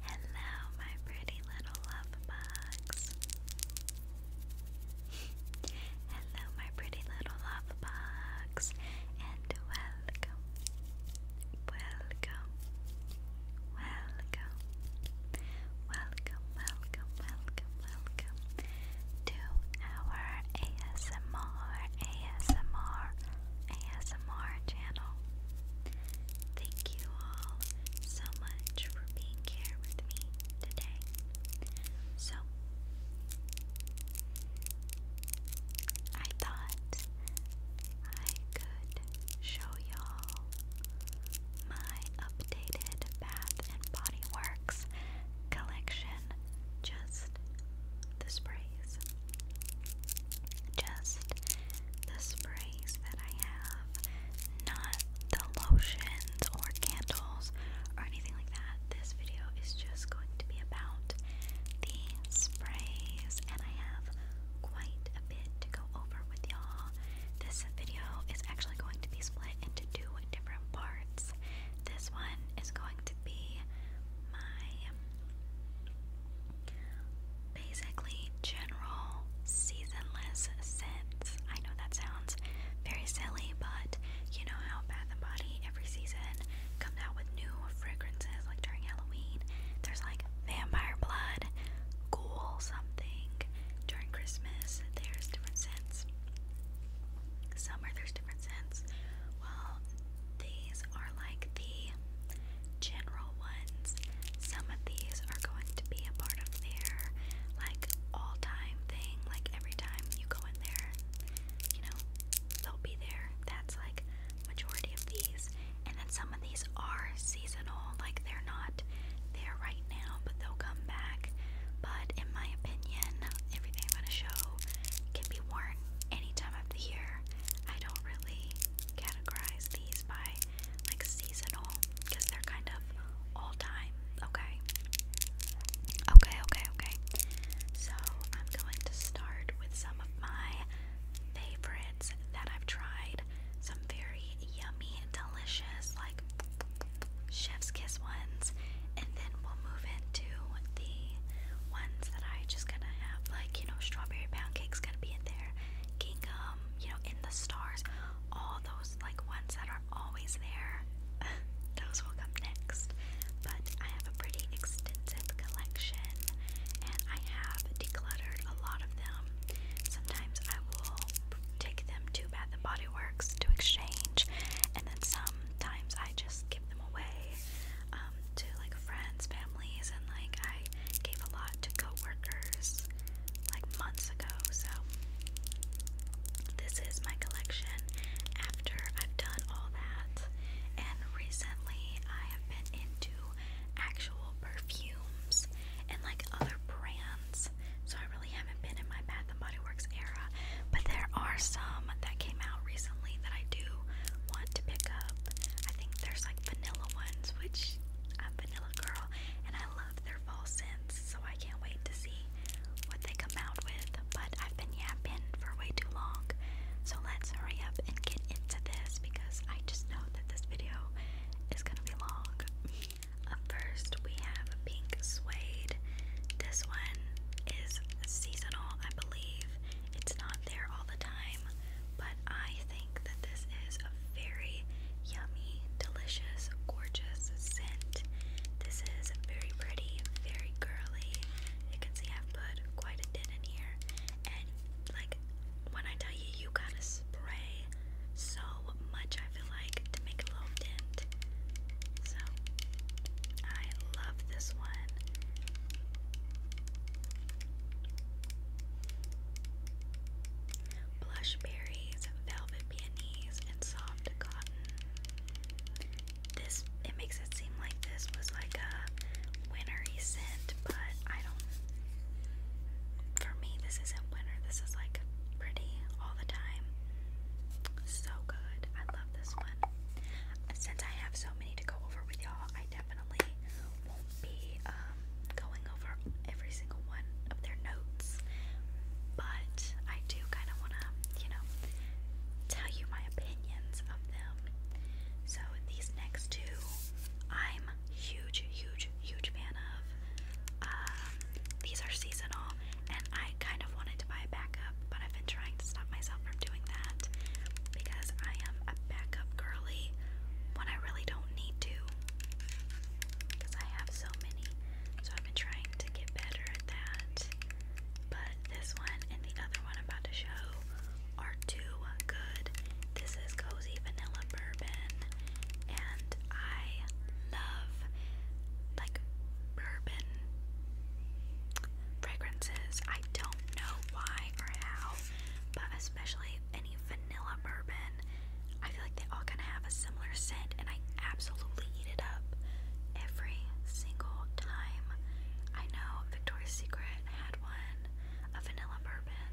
Hello, my pretty little love bugs. Hello, my pretty little love bugs, and welcome, welcome, welcome, welcome, welcome, welcome, welcome to our ASMR, ASMR, ASMR channel. Thank you all so much for being here with me today. So, I thought I could show y'all my updated Bath and Body Works collection, just the sprays just the sprays that I have, not the lotions or candles or anything like that. This video is just going to be about the sprays, and I have quite a bit to go over with y'all. This video is actually going to be split into two different parts. This one is going to be my basically general seasonless scents. I know that sounds very silly, but you know how Bath and Body every season comes out with new fragrances like during Halloween. There's like vampire blood, ghoul something. During Christmas, there's different scents. Summer, there's different scents. Well, these these are like the general ones. Some of these are going to be a part of their like all time thing. Like every time you go in there, you know, they'll be there. That's like majority of these. And then some of these are seasonal, like they're not there right now, but they'll come back. But in my opinion, everything I'm gonna show can be worn any time of the year. I don't really categorize these by like seasonal because they're kind of all time, okay? Okay, okay, okay. So I'm going to start with some of my favorites that I've tried. Some very yummy, delicious, like chef's kiss ones. And then we'll move into the ones that I just gonna have, like, you know, strawberry pound cake's gonna be in there, gingham, um, you know, in the stars, all those like ones that are always there, those will come next. But I have a pretty extensive collection and I have decluttered a lot of them. Sometimes I will take them to Bath and Body Works to exchange, and then sometimes I just give them away um, to like friends, families, and like I I gave a lot to coworkers like months ago. So this is my collection after I've done all that. And recently I have been into actual perfumes and like other brands. So I really haven't been in my Bath and Body Works era, but there are some that came out recently that I do want to pick up. I think there's like vanilla ones, which I'm Vanilla Girl, and I love their fall scents, so I can't wait to see what they come out with. But I've been yapping for way too long, so let's hurry up and get into this because I just know that this video is gonna be long. first, we have pink suede. This one is seasonal, I believe. It's not there all the time, but I think that this is a very yummy, delicious, gorgeous scent. This is very pretty, very girly. You can see I've put quite a bit in here, and like when I tell you, you gotta spray so much, I feel like, to make a little dent. So, I love this one blush berries, velvet peonies, and soft cotton. This it makes it seem like this was like a wintry scent, but I don't. For me, this isn't winter. This is like pretty all the time. So good. I love this one. Since I have so many to go over with y'all, I definitely won't be um, going over every single one of their notes, but I do kind of want to, you know, tell you my opinions of them. So these next two, I'm huge, huge, huge fan of. Um, these are seasonal, and I kind of wanted to buy a backup, but I've been trying to stop myself from doing that because I am a backup girly when I really don't need to because I have so many. So I've been trying to get better at that. But this one and the other one I'm about to show are too good. This is Cozy Vanilla Bourbon, and I love like bourbon fragrances. I don't know why or how, but as especially any vanilla bourbon. I feel like they all kind of have a similar scent, and I absolutely eat it up every single time. I know Victoria's Secret had one, a vanilla bourbon,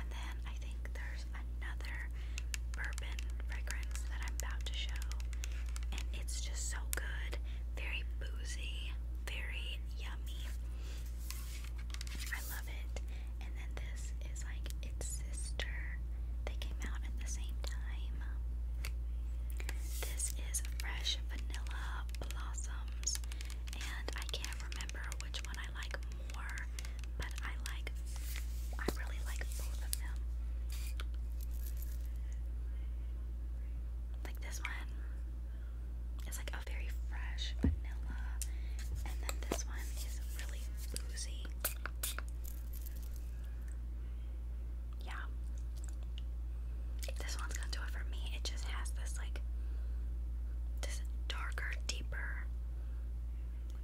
and then I think there's another bourbon fragrance that I'm about to show, and it's just so good. Very boozy, very yummy. I love it. And then this is like its sister. They came out at the same time. This is Fresh Vanilla Blossoms. And I can't remember which one I like more, but I like, I really like both of them. Like this one. It's like a very fresh vanilla. And then this one is really boozy. Yeah. This one's gonna do it for me. It just has this like this darker, deeper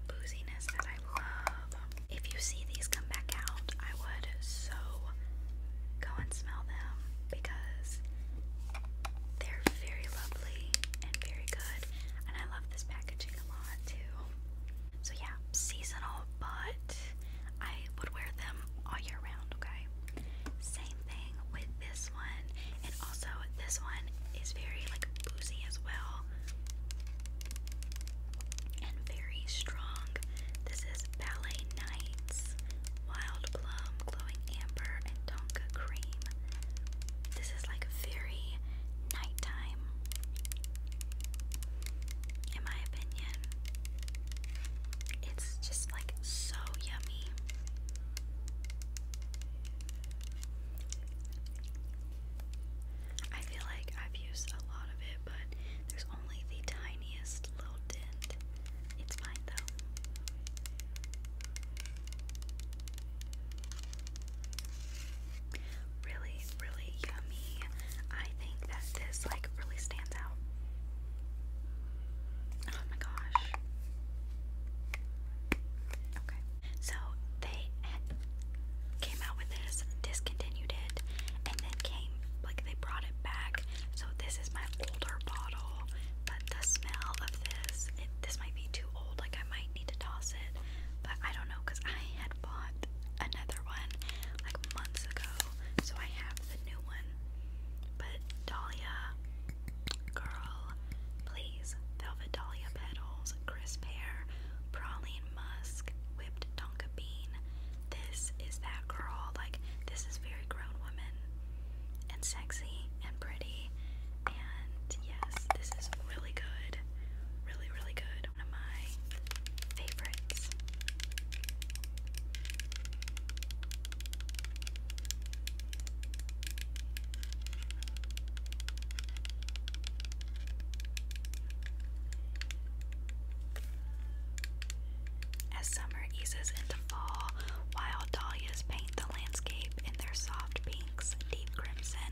booziness that I love. If you see these come back out, I would so go and smell them because they're very lovely and very good, and I love this packaging a lot too. So, yeah, seasonal, but I would wear them all year round, okay? Same thing with this one, and also this one is very like boozy as well and very strong. This is Ballet Nights Wild Plum Chloe Amber and Tonka Cream. This is like very nighttime, in my opinion. It's just like so yummy. I feel like I've used a lot of it, but there's only the tiniest little dent. It's fine though. Really, really yummy. I think that this like really stands out. Oh my gosh. Okay. So they came out with this, discontinued it, and then came like they brought it back. So this is my older bottle, but the smell of this, this might be too old, like I might need to toss it, but I don't know because I had bought another one like months ago, so I have the new one. But Dahlia, girl, please, velvet Dahlia petals, crisp hair, praline musk, whipped tonka bean. This is that girl, like, this is very grown woman and sexy and pretty. And yes, this is really good. Really, really good. One of my favorites. As summer eases into fall, wild dahlias paint the landscape in their soft pink pinks, deep crimson,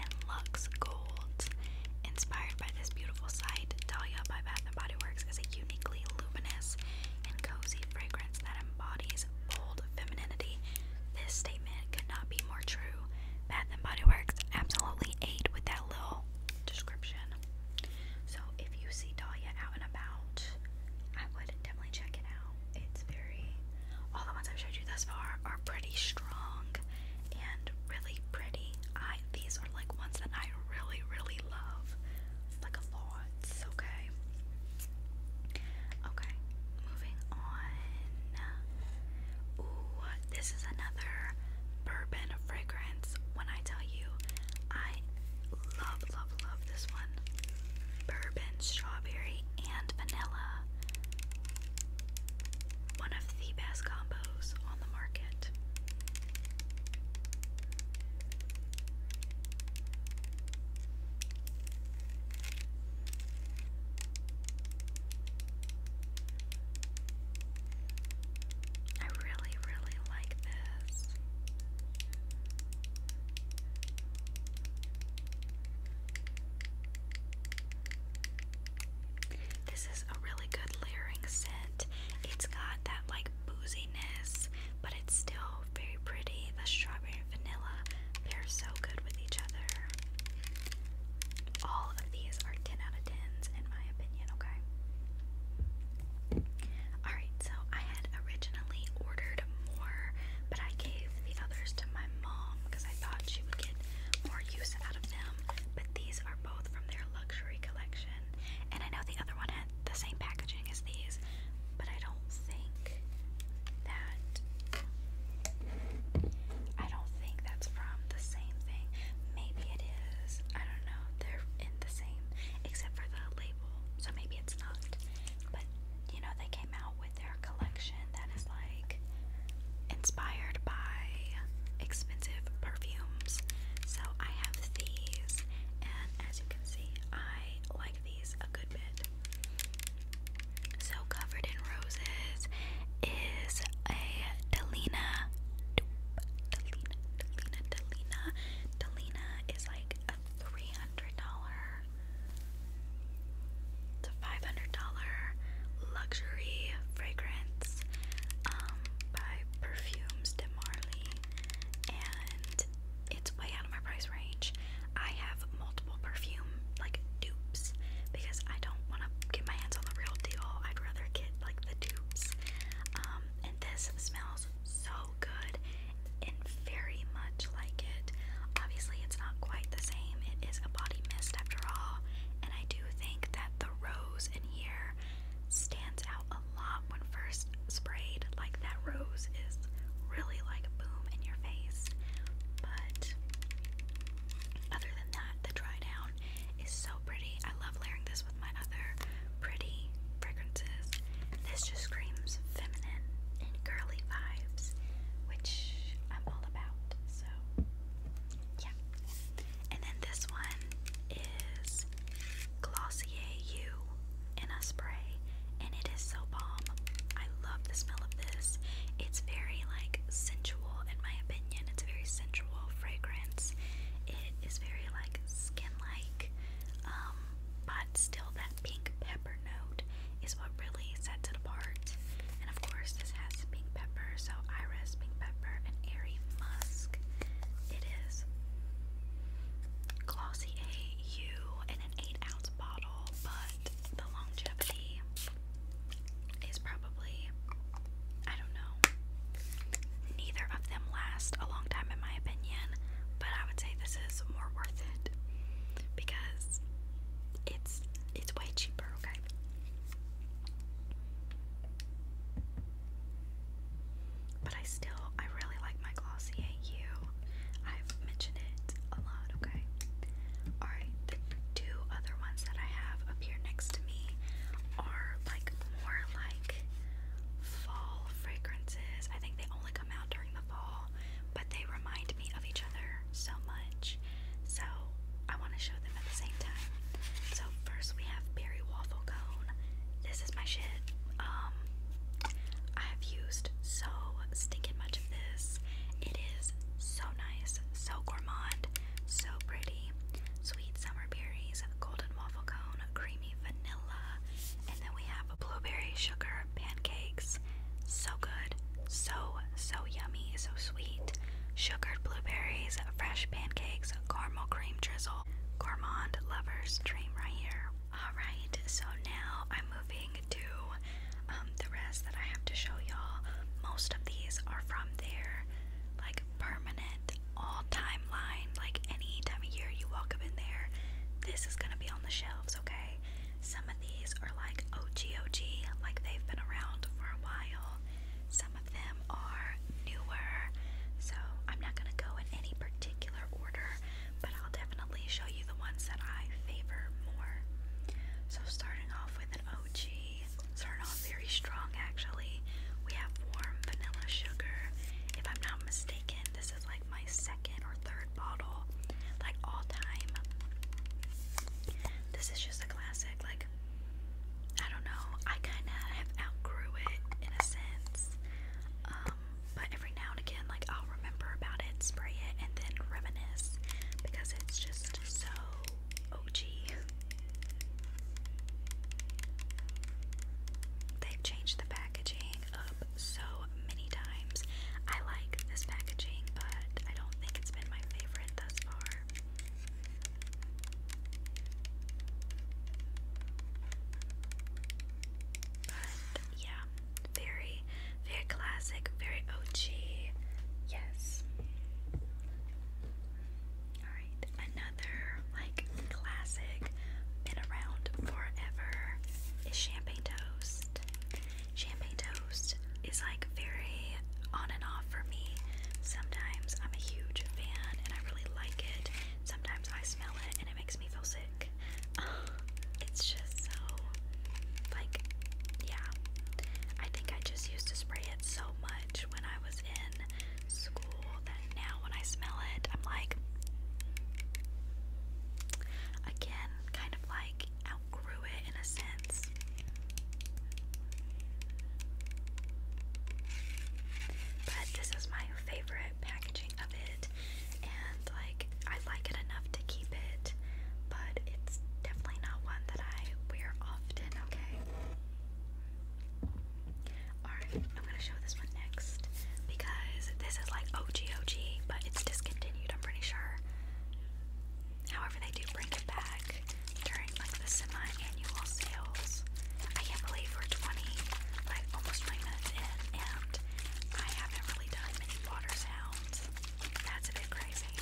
and lux gold, Inspired by this beautiful site, Dahlia by Bath & Body Works is a uniquely luminous and cozy fragrance that embodies bold femininity. This statement could not be more true. Bath & Body Works absolutely ate with that little description. So if you see Dahlia out and about, I would definitely check it out. It's very. All the ones I've showed you thus far are pretty strong and really pretty. I these are like ones that I really really love, like a lot. Okay. Okay. Moving on. Ooh, this is another bourbon fragrance. When I tell you, I love love love this one. Bourbon strawberry strawberry and vanilla. One of the best combos on the market. I really, really like this. This is a really good layering scent. It's got that like boozyness, but it's still very pretty. The strawberry and vanilla, they're so good with each other. All of these are 10 out of 10s in my opinion, okay? Alright, so I had originally ordered more, but I gave the others to my mom because I thought she would get more use out of them. But these are both from their luxury collection. And I know the other one had the same packaging as these, but I don't think that I don't think that's from the same thing. Maybe it is. I don't know. They're in the same except for the label. So maybe it's not. But you know, they came out with their collection that is like inspired by expensive perfumes. So I have these, and as you can see, I like these a good bit. So, Covered in Roses is a Delina. Delina, Delina, Delina. Delina is like a $300 it's a five hundred dollar luxury fragrance um, by Perfumes de Marley, and it's way out of my price range. I have multiple perfume like dupes because I don't want to get my hands on the real deal. I'd rather get like the dupes. Um, and this smells so good very much like it. Obviously, it's not quite the same. It is a body mist after all, and I do think that the rose in here stands out a lot when first sprayed. Like that rose is really like a boom in your face. But other than that, the dry down is so pretty. I love layering this with my other pretty fragrances. This just screams feminine and girly vibes, which which I'm all about. So, yeah. And then this one is Glossier U in a spray, and it is so bomb. I love the smell of this. It's very like sensual, in my opinion. It's a very sensual fragrance. It is very like skin-like, um, but still that pink pepper pepper note is what really sets it apart. And of course, this has pink pepper, so Iris pink pepper and airy musk. It is glossy AU in an 8 ounce bottle, but the longevity is probably, I don't know, neither of them last a long time in my opinion, but I would say this is more worth it because it's it's way cheaper, okay? But I still I really like my Glossier U. I've mentioned it a lot, okay? Alright, the two other ones that I have up here next to me are like more like fall fragrances. I think they only come out during the fall, but they remind me of each other so much. So I want to show them at the same time. So first we have berry waffle cone. This is my shit. Um, I have used so stinking much of this. It is so nice, so gourmand, so pretty. Sweet summer berries, golden waffle cone, creamy vanilla, and then we have blueberry sugar pancakes so good, so, so yummy, so sweet. Sugared blueberries, fresh pancakes, caramel cream drizzle. Gourmand lover's dream right here. Alright, so now I'm moving to um, the rest that I have to show y'all. Most of these are from there, like permanent all timeline. Like any time of year you walk up in there, this is gonna be on the shelves, okay? Some of these are like OGOG, like they've been around for a while. Some of them are newer, so I'm not going to go in any particular order, but I'll definitely show you the ones that I favor more. So, starting off with an OG, starting off very strong actually. We have warm vanilla sugar. If I'm not mistaken, this is like my second or third bottle, like all time. This is just a classic. Like I don't know. I kind of have outgrew it in a sense, um, but every now and again, like I'll remember about it, spray it, and then reminisce because it's just so OG. They've changed the packaging up so many times. I like this packaging, but I don't think it's been my favorite thus far. But yeah, very, very classic, very OG. Yes. Alright, another like classic, been around forever, is champagne toast champagne toast is like very on and off for me. Sometimes I'm a huge fan and I really like it. Sometimes I smell it and it makes me feel sick. it's just so like yeah. I think I just used to spray it so much when I was in school that now when I smell it, I'm like again, kind of like outgrew it in a sense. But this is my favorite packaging of it, and like I like it enough to keep it, but it's definitely not one that I wear often, okay? Alright, I'm gonna show this one next because this is like OG OG, but it's discontinued, I'm pretty sure. However, they do bring it back during like the semi sales. I can't believe we're 20, like almost 20 minutes in, and I haven't really done many water sounds. That's a bit crazy.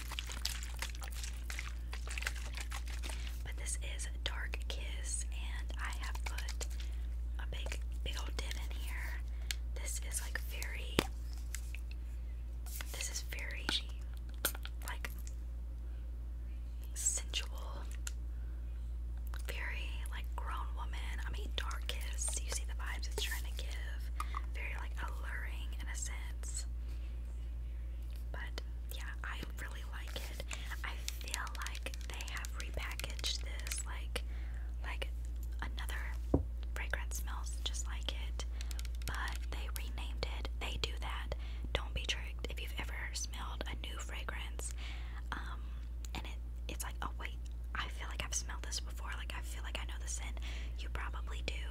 But this is Dark Kiss, and I have put a big, big old dip in here. This is like very this is very like sensual, very like grown woman. I mean, dark You see the vibes it's trying to give. Very like alluring in a sense. But yeah, I really like it. I feel like they have repackaged this like like another fragrance smells just like it, but they renamed it. They do that. Don't be tricked. If you've ever smelled a new fragrance, um, and it it's like, oh wait, I feel like I've smelled this before. Like I feel like I know the scent. You probably do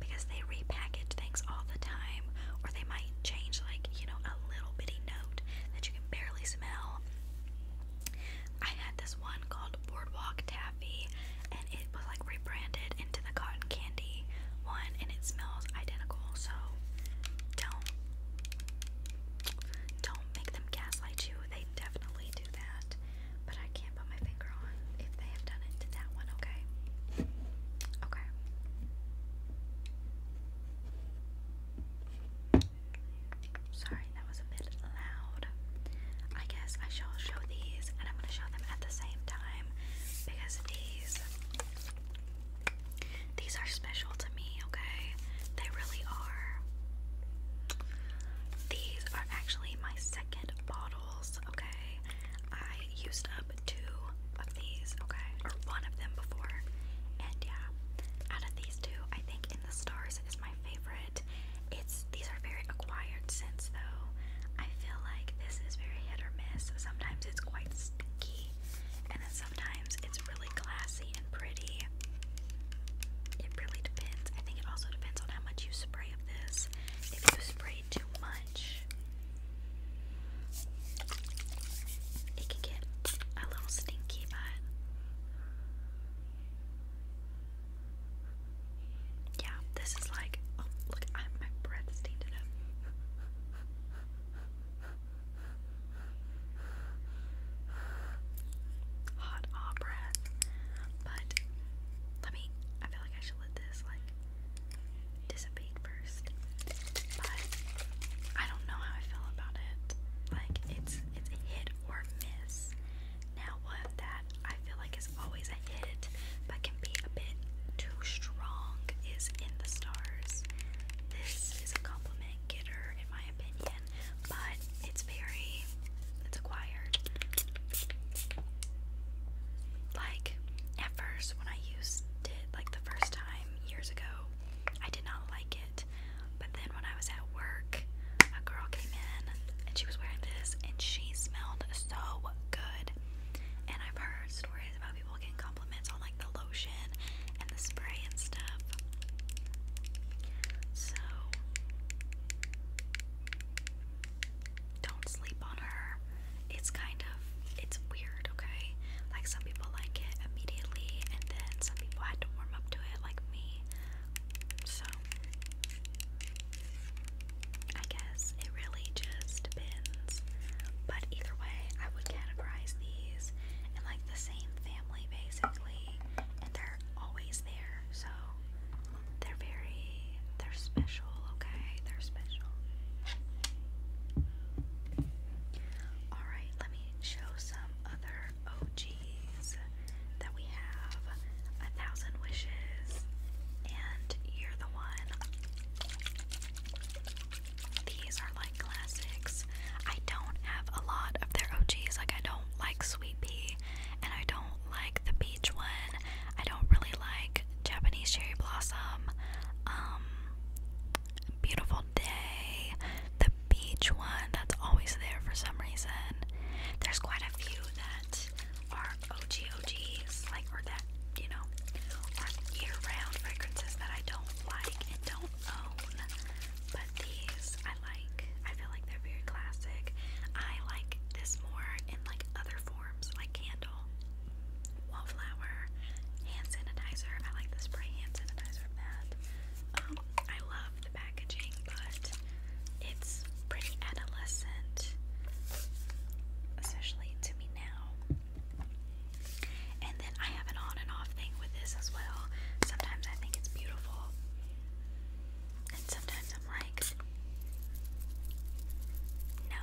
because they repackage things all the time, or they might change like you know a little bitty note that you can barely smell. I had this one called Boardwalk Taffy, and it was like rebranded into the cotton candy one, and it smells identical. So don't don't make them gaslight you. They definitely do that, but I can't put my finger on if they have done it to that one. Okay, okay. Sorry, that was a bit loud. I guess I shall show these and I'm going to show them at the same time because these these are special to me, okay? They really are. These are actually my second bottles, okay? I used up two of these, okay? Or one of them before. And yeah, out of these two, I think In the Stars is my favorite it's these are very acquired scents though. I feel like this is very hit or miss. Sometimes it's quite stinky, and then sometimes it's really classy and pretty. It really depends. I think it also depends on how much you spray of this. If you spray too much, it can get a little stinky, but yeah, this is like, oh, look, I, my breath stained it up. Hot aw breath. But let me, I feel like I should let this like dissipate first. But I don't know how I feel about it. Like it's it's hit or miss. Now, one that I feel like is always a hit but can be a bit too strong is In the Stars. This is a compliment getter, in my opinion, but it's very, it's acquired. Like, at first, when I used it, like the first time years ago, I did not like it. But then when I was at work, a girl came in and she was wearing this, and she smelled so good. And I've heard stories about people getting compliments on like the lotion and the spray and stuff. So don't sleep on her. It's kind of it's weird, okay? Like some people like it immediately and then some people had to warm up to it like me. So I guess it really just depends. But either way, I would categorize these in like the same family basically, and they're always there. So they're very they're special, okay? They're special. All right, let me show some other OGs that we have A Thousand Wishes and You're the One. These are like classics. I don't have a lot of their OGs. Like, I don't like Sweet Pea and I don't like the Beach one. I don't really like Japanese Cherry Blossom. Um, Beautiful Day. The beach one that's always there for some reason. There's quite a few that are OG OGs, like, or that, you know, or year round fragrances that I don't like and don't own. But these I like. I feel like they're very classic. I like this more in like other forms, like candle, wallflower, hand sanitizer. I like the spray hand sanitizer that. Um, I love the packaging, but it's pretty adolescent, especially to me now. And then I have an on and off thing with this as well. Sometimes I think it's beautiful, and sometimes I'm like, no.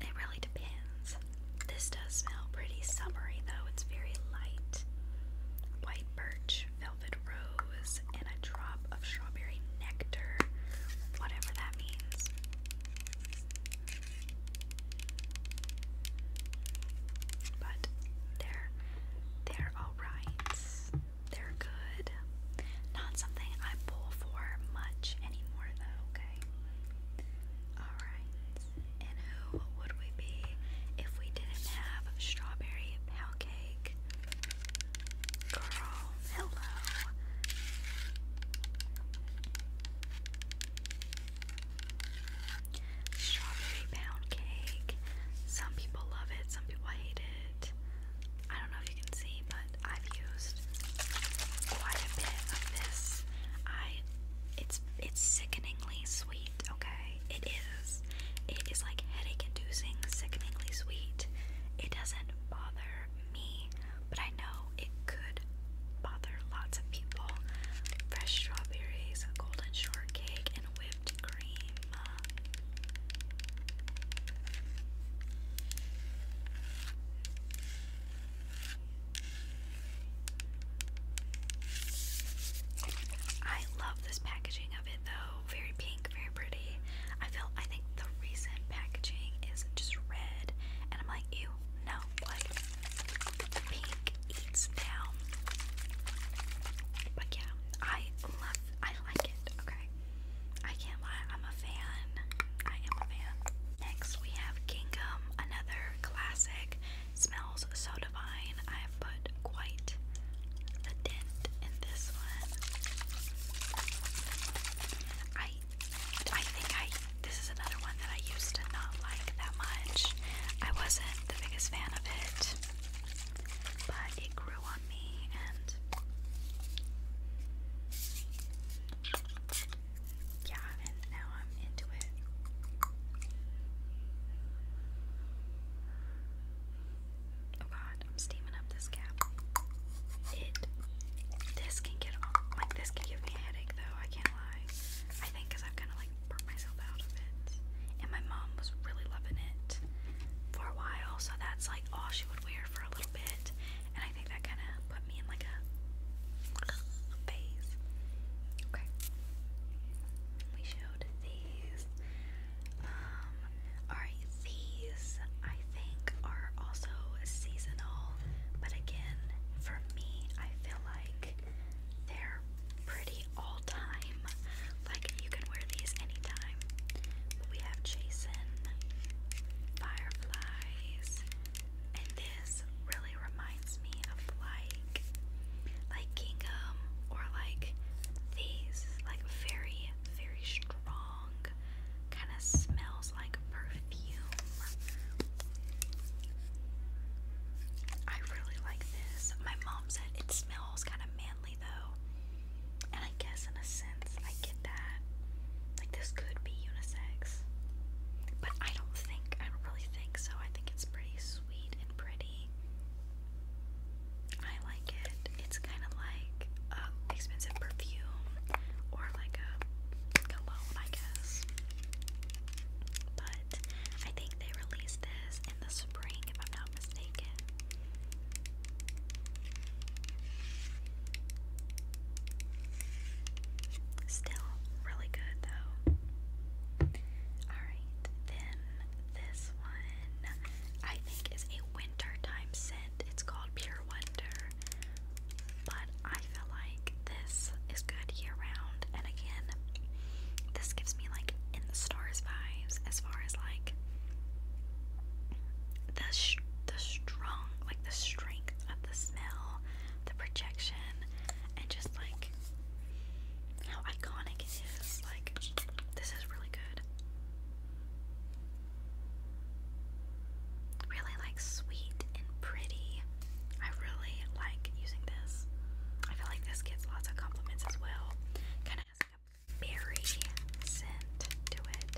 It really depends. This does smell pretty summery though, it's very light. White birch, velvet rose, and a drop of strawberry nectar, whatever that means. But they're they're alright. They're good. Not something I pull for much anymore though, okay? Alright. And who would we be if we didn't have strawberry pound cake? Girl, hello. Strawberry pound cake. Some people love it, some people hate it. I don't know if you can see, but I've used quite a bit of this. I it's it's sickeningly sweet, okay? It it is like headache inducing, sickeningly sweet. It doesn't bother me, but I know it could bother lots of people. Fresh strawberries, golden shortcake, and whipped cream. I love this packaging of it though very pink, very pretty. I feel I think the reason packaging is just red, and I'm like, you know, like pink eats down. But yeah, I love, I like it. Okay, I can't lie, I'm a fan. I am a fan. Next, we have Gingham, another classic. Smells so divine. I have put quite a dent in this one. I I think I this is another one that I used to not like that much. I wasn't the biggest fan of it. But it grew on me and yeah, and now I'm into it. Oh god, I'm steaming up this cap. It. This can get like this can give me a headache though. I can't lie. I think I've kind of like burnt myself out of it. And my mom was really loving it for a while, so that's like all she would wear for a little bit. And I think that kind of put me in like a phase. Okay. We showed these. Um, Alright, these I think are also seasonal, but again, for me, I feel like they're pretty all time. Like, you can wear these anytime. But we have Jason, Fireflies, and this really reminds me of like, like Gingham or like these, like very, very strong strong, kind of smells like perfume. I really like this. My mom said it smells kind of manly though. And I guess in a sense I get that. Like this could be unisex. But I don't think I don't really think so. I think it's pretty sweet and pretty. I like it. It's kind of like uh, expensive perfume or like a cologne, I guess. But I think they released this in the spring, if I'm not mistaken. Still really good though. Alright, then this one I think is a wintertime scent. It's called Pure Wonder. But I feel like this is good year round. And again, this gives me like in the stars vibes as far as like the the strong, like the strength of the smell, the projection, and just like how iconic it is. Like this is really good. Really like sweet and pretty. I really like using this. I feel like this gets lots of compliments as well. Kind of has like a berry scent to it.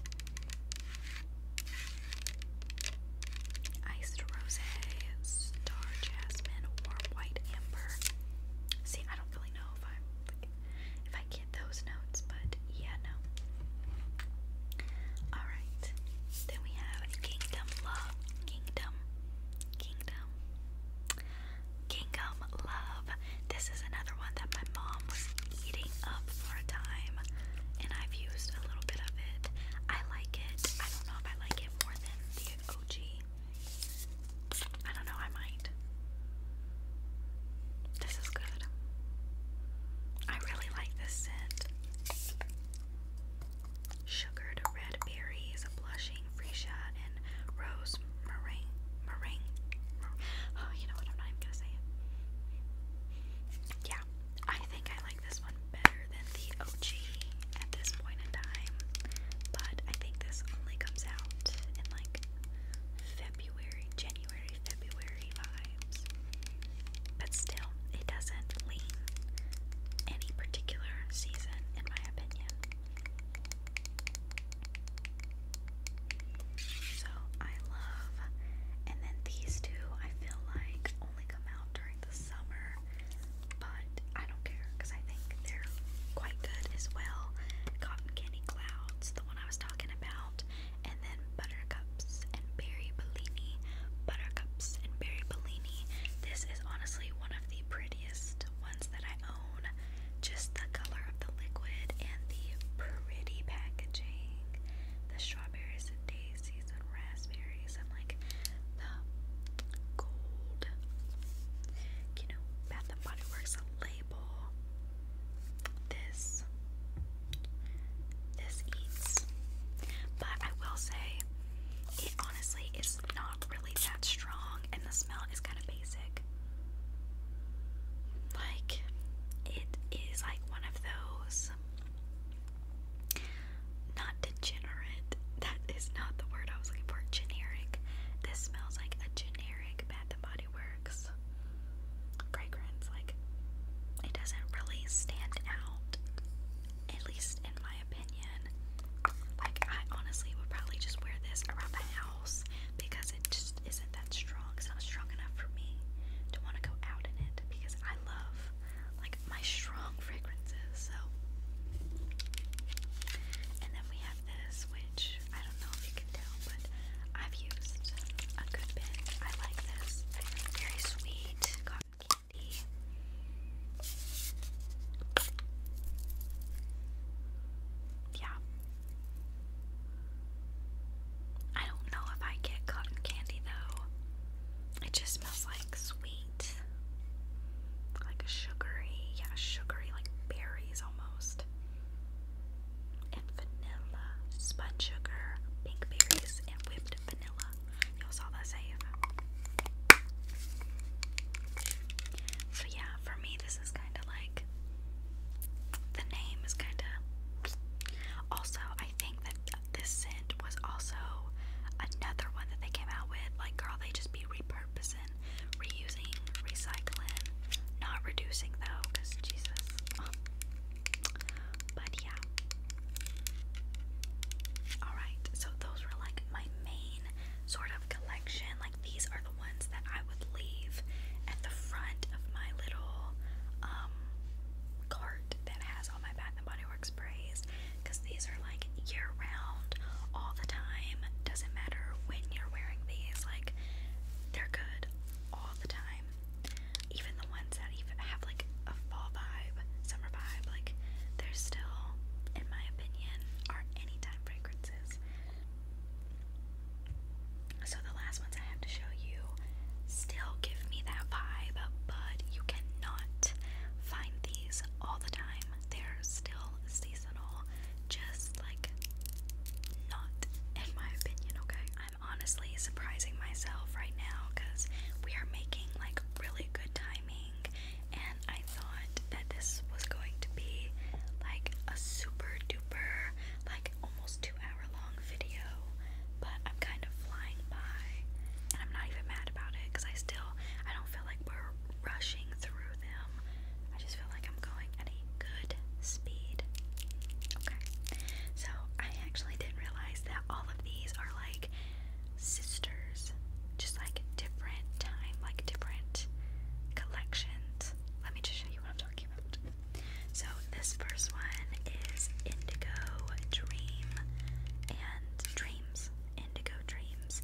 Iced rose, star jasmine, warm white amber. See, I don't really know if I'm like it, those notes, but yeah, no. Alright. Then we have Kingdom Love. Kingdom. Kingdom. Kingdom Love. This is another one that my mom was eating up for a time, and I've used a little bit of it. I like it. I don't know if I like it more than the OG. I don't know, I might. This is good. I really like this scent. Sugared red berries, blushing freesia, and rose meringue. Meringue. Oh, you know what? I'm not even gonna say it. Yeah, I think I like this one better than the OG at this point in time. But I think this only comes out in like February, January. January, February vibes. But still, it doesn't lean any particular season, in my opinion. So I love, and then these two I feel like only come out during the summer, but I don't care because I think they're quite good as well. Cotton Candy Clouds, the one I was talking about, and then buttercups and berry bellini. Buttercups and berry bellini. This is honestly one of the prettiest ones that I own. Just the color of the liquid and the pretty packaging. The strawberries and daisies and raspberries and like the gold. You know, Bath and Body Works this this eats. But I will say it honestly is not really that strong and the smell is kind of basic. Like it is like one of those not degenerate. That is not the word I was looking for. Generic. This smells like a generic Bath and Body works fragrance, like it doesn't really stand out, at least in my opinion. Like I honestly would probably just wear this around the house because it just isn't that strong. It's not strong enough for me to want to go out in it because I love like my strong fragrances. So, and then we have this, which I don't know if you can tell, but I've used a good bit. I like this. Very sweet cotton candy. Yeah. I don't know if I get cotton candy though. It just smells like sweet. Like a sugary, yeah, sugary, like berries almost and vanilla, spun sugar, pink berries, and whipped vanilla. Y'all saw that save. So yeah, for me this is kind of like the name is kind of. Also, I think that this scent was also another one that they came out with. Like, girl, they just be repurposing, reusing recycling. Not reducing though, because Jesus. But yeah. Alright, so those were like my main sort of collection. Like these are the ones that I would leave at the front of my little um, cart that has all my Bath and Body Works sprays because these are like year round all the time. Doesn't matter when you're wearing these, like they're good all the time time. Even the ones that even have like a fall vibe, summer vibe, like they're still, in my opinion, are anytime fragrances. So the last ones I have to show you still give me that vibe, but you cannot find these all the time. They're still seasonal, just like not in my opinion, okay? I'm honestly surprising myself right now because we are making like really good timing, and I thought that this was going to be like a super duper, like almost two hour long video, but I'm kind of flying by, and I'm not even mad about it because I still I don't feel like we're rushing through them. I just feel like I'm going at a good speed. Okay. So I actually didn't realize that all of these are like sisters, just like different time, like different collections. Let me just show you what I'm talking about. So this first one is Indigo Dream and Dreams. Indigo Dreams.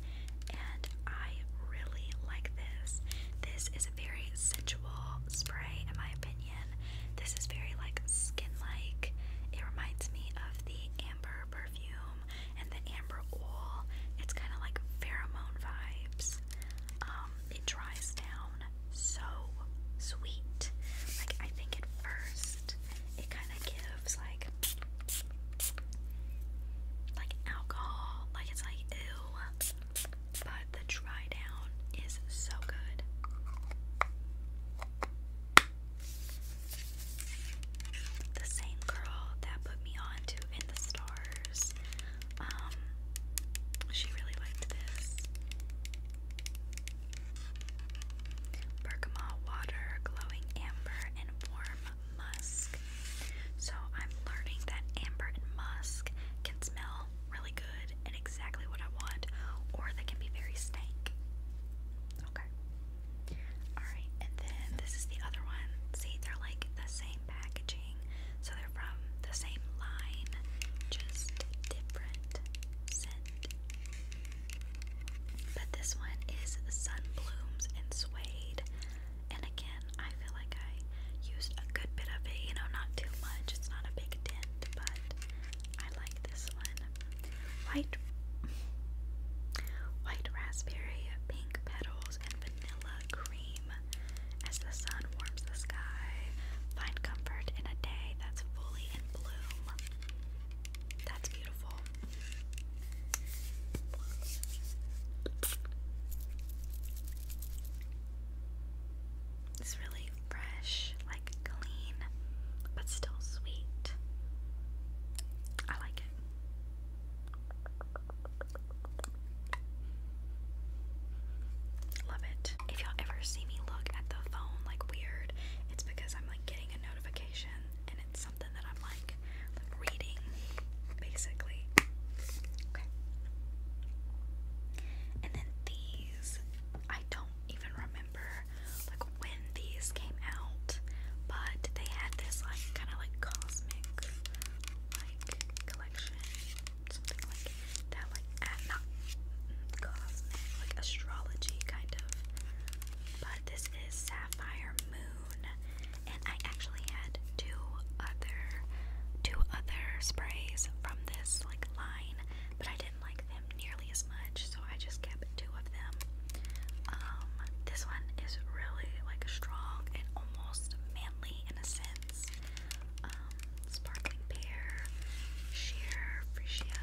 And I really like this. This is a very sensual spray, in my opinion. This is very like skin like. It reminds me of the amber perfume and the amber oil. It's kind of like pheromone vibes. Um, it dries down so sweet. Like I think at first it kind of gives like like alcohol. Like it's like ew but the dry down is so good. The same girl that put me on In the Stars, um, she really liked this. Bergamot water, glowing amber, and warm musk. So I'm learning that amber and musk can smell really good and exactly what I want, or they can be very stank. Okay. Alright, and then this is the other one. See, they're like the same packaging, so they're from the same line, just different scent. But this one is Sunblooms and Suede, and again, I feel like I used a good bit of it, you know, not too much. It's not a big dent, but I like this one. White White raspberry, pink petals, and vanilla cream. As the sun warms the sky, find comfort in a day that's fully in bloom. That's beautiful. It's really fresh, like clean, but still sweet. I like it. Love it. If y'all ever see me look at the phone like weird, it's because I'm like getting a notification and it's something that I'm like, reading, basically. Okay. And then the I don't even remember like when these came out, but they had this like kind of like cosmic like collection, something like that, like cosmic, like astrology kind of. But this is Sapphire Moon, and I actually had two other two other sprays from this like line but I didn't like them nearly as much, so I just kept two of them. Um, this one is really like strong and almost manly in a sense. Um, sparkling pear, sheer freesia,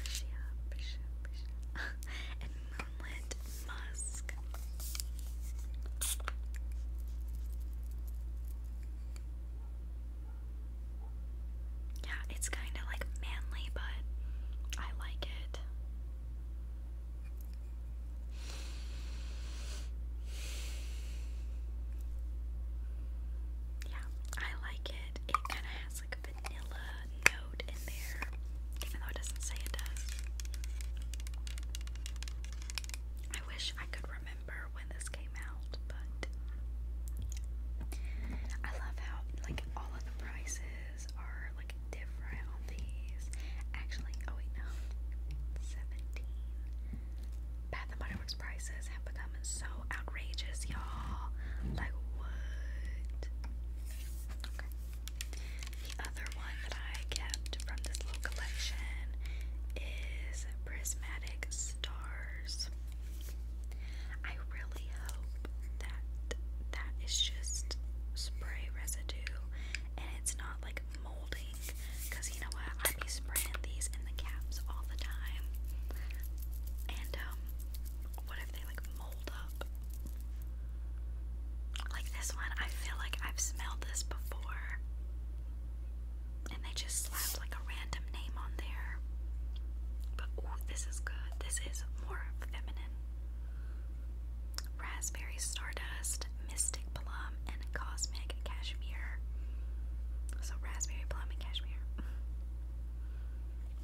freesia, freesia, freesia, and moonlit musk. Yeah, it's kind of like manly, but I like it. Yeah, I like it. It kind of has like a vanilla note in there, even though it doesn't say it does. I wish I could remember remember when this came out, but I love how like all of the prices are like different on these. Actually, oh wait, no, seventeen. Bath and Body Works prices have become so outrageous, y'all. Like what? Okay. The other one that I kept from this little collection is Prismatic. Star I really hope that that is just spray residue and it's not like molding because you know what? I be spraying these in the caps all the time. And um, what if they like mold up? Like this one, I feel like I've smelled this before and they just slapped like a random name on there. But ooh, this is good. This is more feminine. Raspberry Stardust, Mystic Plum, and Cosmic Cashmere. So raspberry plum and cashmere.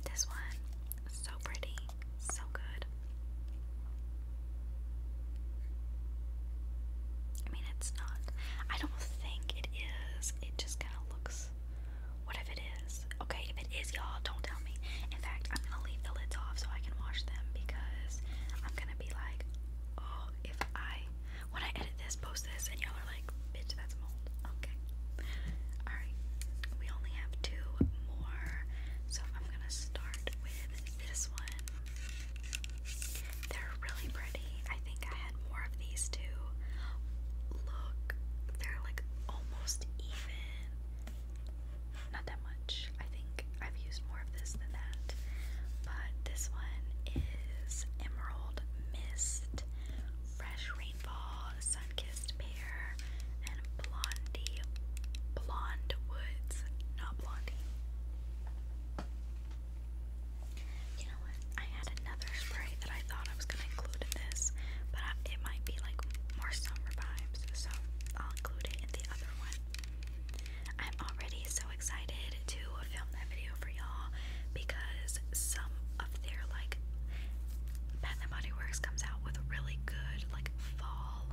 This one, so pretty, so good. I mean, it's not. I don't think it it just kind of looks. What if it is? Okay, if it is, y'all, don't tell me. In fact, I'm gonna leave the lids off so I can wash them because I'm gonna be like, oh, if I. When I edit this, post this, and y'all are like, bitch, that's mold. Okay. Alright, we only have two more. So I'm gonna start with this one. They're really pretty. I think I had more of these too. Look, they're like almost even. Not that much. I think I've used more of this than that. But this one is Emerald Mist, Fresh Rainfall, Sun-Kissed Pear, and Blondie Blonde Woods. Not Blondie. You know what? I had another spray that I thought I was gonna include this, but it might be like more summer vibes, so I'll include it in the other one. I'm already so excited to film that video for y'all because some of their like Bath and Body Works comes out with really good like fall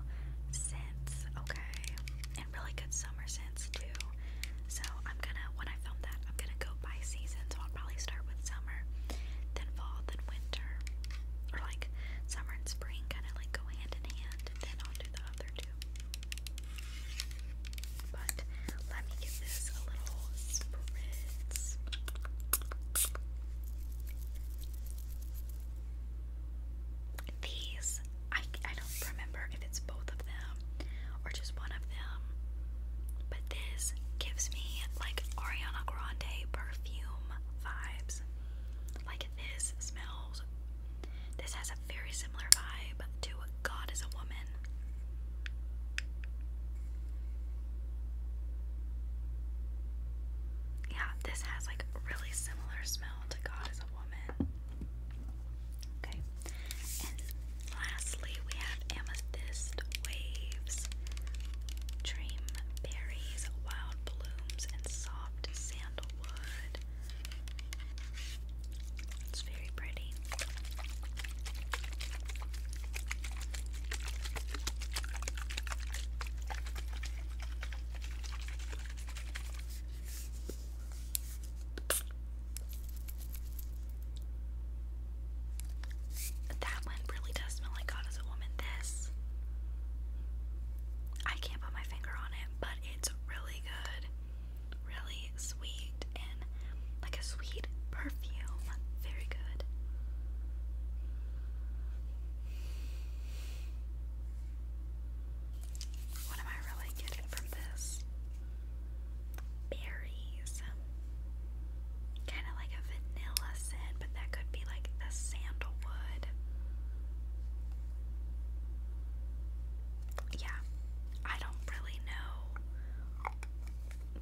scents, okay, and really good summer scents too. So I'm gonna when I film that, I'm gonna go by season. So I'll probably start with summer, then fall, then winter, or like summer and spring, kind of like go hand in hand. then I'll do the other two. But let me give this a little spritz. These, I, I don't remember if it's both of them or just one of them. But this gives me like Ariana Grande perfume vibes. Like this smells, this has a very similar vibe to God is a Woman. Yeah, this has like really similar smell to God is a Woman. Okay, lastly we have amethyst waves, dream berries, wild blooms, and soft sandalwood. It's very pretty. That one really does smell like God is a woman. This I can't put my finger on it, but it's really good, really sweet, and like a sweet perfume. Very good. What am I really getting from this? berries. Kind of like a vanilla scent, but that could be like the sandalwood. Yeah, I don't really know,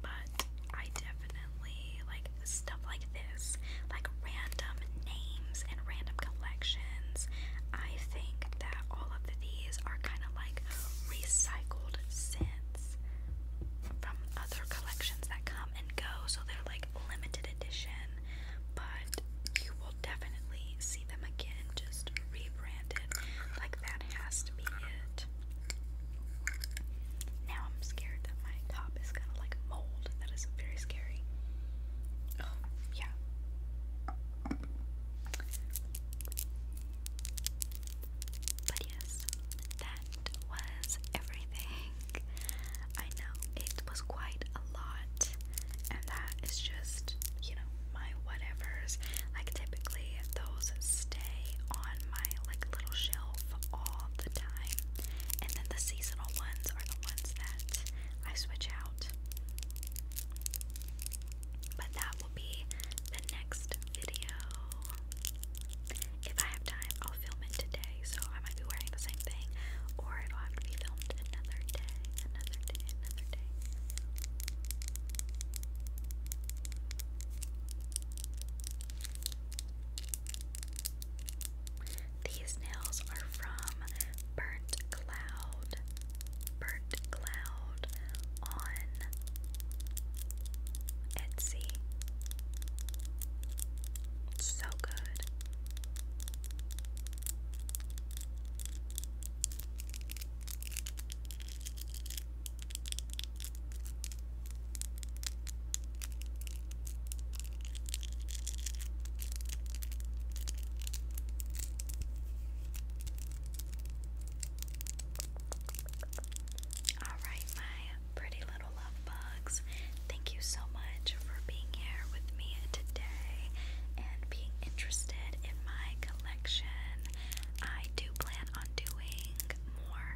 but I definitely like stuff like this, like random names and random collections. I think that all of these are kind of like recycled since from other collections that come and go, so they're like limited edition, but you will definitely see them again just rebranded. Like that has to be it. Now I'm scared that my top is gonna like mold. That is very scary. Oh, yeah. But yes, that was everything. I know it was quite a lot, and that is just, you know, my whatevers. Like, typically, those stay on my like little shelf all the time, and then the seasonal ones are the ones that I switch out. But that will be the next video. If I have time, I'll film it today, so I might be wearing the same thing, or it'll have to be filmed another day, another day, another day. These nails are from Burnt Cloud. Burnt Cloud on Etsy. It's so good. Alright, my pretty little love bugs, thank you so much for being here with me today and being interested in my collection. I do plan on doing more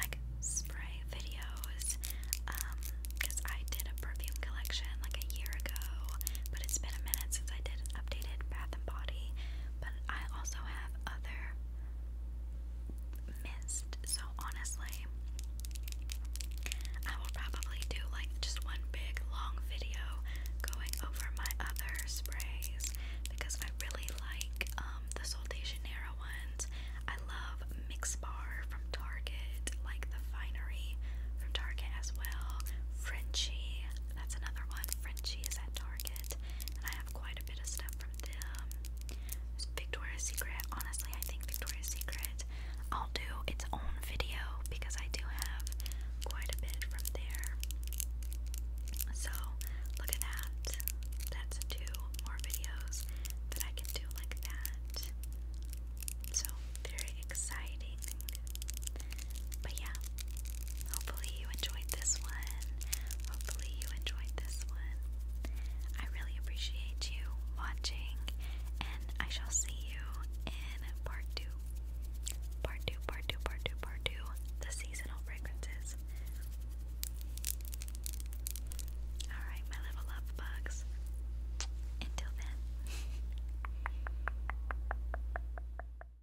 like spray videos because um, I did a perfume collection like a year ago, but it's been a minute since I did an updated bath and body but I also have other mist. So honestly, I will probably do like just one big long video going over my other sprays because I really like um, the Sol Janeiro ones. I love Mix Bar from Target, like the Finery from Target as well. Frenchie, that's another one. Frenchie is at Target. Market, and I have quite a bit of stuff from them. Victoria's Secret. Honestly, I think Victoria's Secret I'll do its own video because I do have quite a bit from there. So, look at that. That's two more videos that I can do like that. So, very exciting. But yeah, hopefully you enjoyed this one. Hopefully you enjoyed this one. I really appreciate you watching, and I shall see you in part two. Part two, part two, part two, part two. The seasonal fragrances. Alright, my little love bugs. Until then.